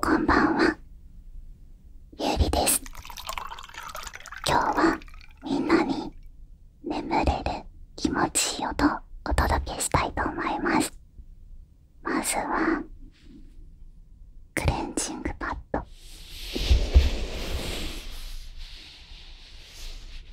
こんばんはゆうりです今日はみんなに眠れる気持ちいい音をお届けしたいと思いますまずはクレンジングパッド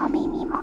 お耳も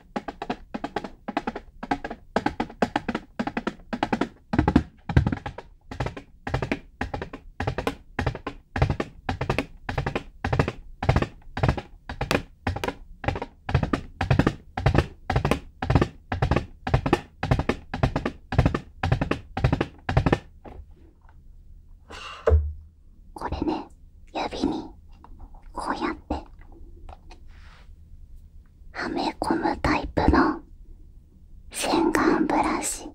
これね指にこうやってはめ込むタイプの洗顔ブラシ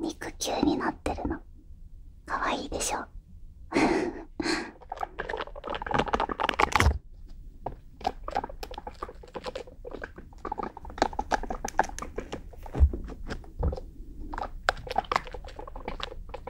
肉球になってるのかわいいでしょ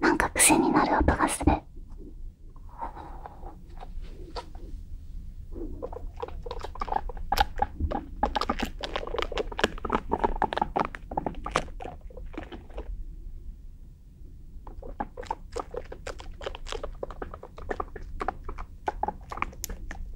なんか癖になる音がする。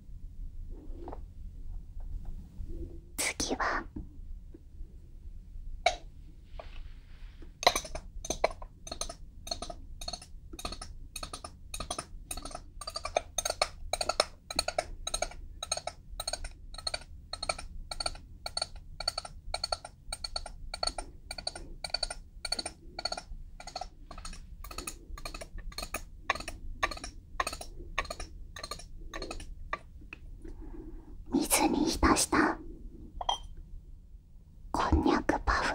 次は水に浸したこんにゃくパフ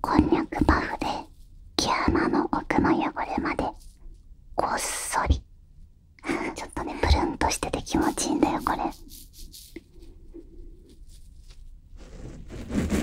こんにゃくパフで毛穴の奥の汚れまでこっそり ちょっとねプルンとしてて気持ちいいんだよこれ。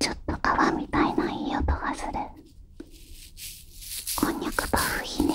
ちょっと川みたいないい音がする。こんにゃくパフいいね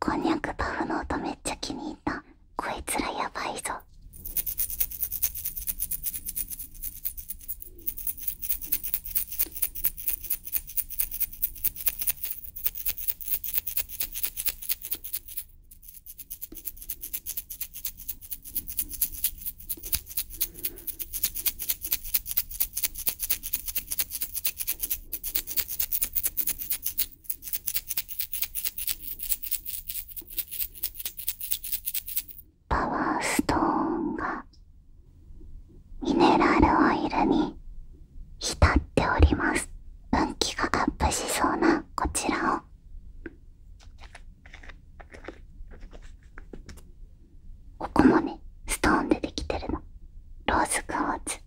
こんにゃくパフの音めっちゃ気に入ったこいつらやばいぞパワーストーンがミネラルオイルに浸っております運気がアップしそうなこちらをここもねストーンでできてるのローズクォーツ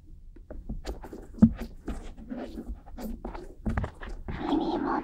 耳元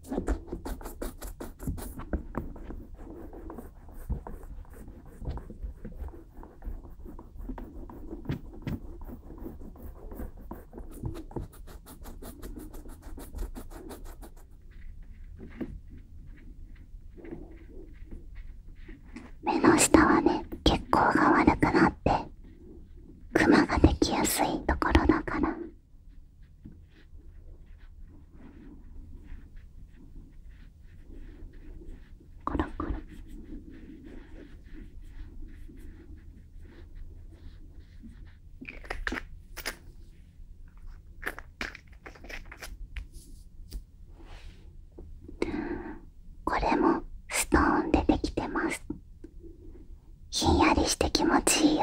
目の下はね血行が悪くなってクマができやすいところだから。コロコロこれもストーンでできてますひんやりして気持ちいいよ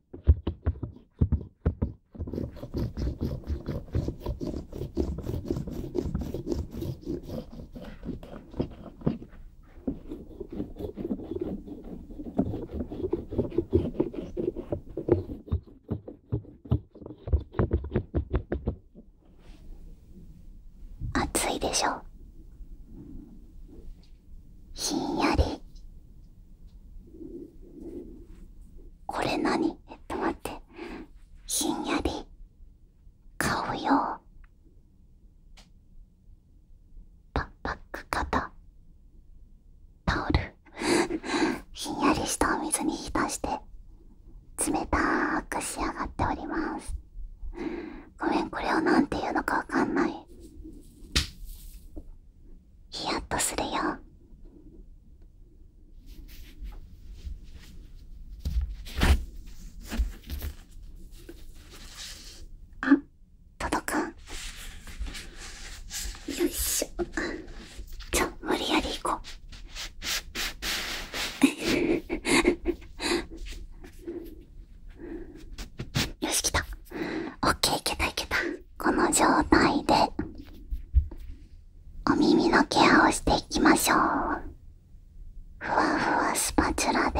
暑いでしょひんやりこれ何えっと待ってひんやり買うよパック型タオルひんやりしたお水に浸して冷たく仕上がっておりますごめんこれを何て言うのかわかんないヒヤッとするよあ届かんよいしょじゃあ無理やり行こうよし来たオッケーいけたいけたこの状態でお耳のケアをしていきましょうふわふわスパチュラで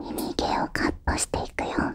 耳毛をカットしていくよ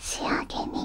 仕上げに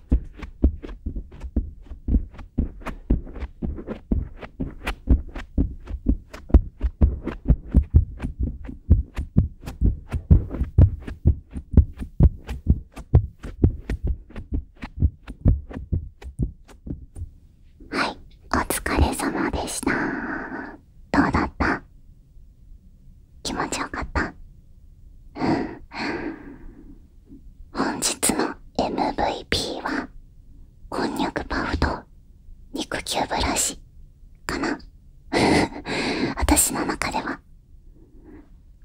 はいお疲れ様でしたどうだった気持ちよかった。本日の MVP は、こんにゃくパフと肉球ブラシかな私の中では。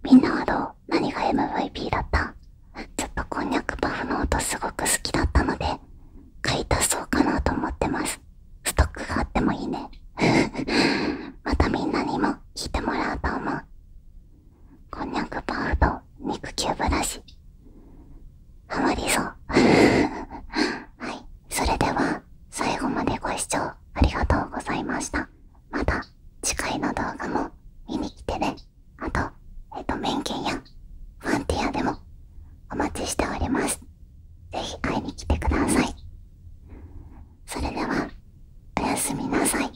みんなはどう何が MVP だったちょっとこんにゃくパフの音すごく好きだったので、買い足そうかなと思ってます。ストックがあってもいいね。またみんなにも聞いてもらうと思うこんにゃくパウと肉球ブラシハマりそう はいそれでは最後までご視聴ありがとうございましたまた次回の動画も見に来てねあとえっ、と面見やファンティアでもお待ちしておりますぜひ会いに来てくださいそれではおやすみなさい。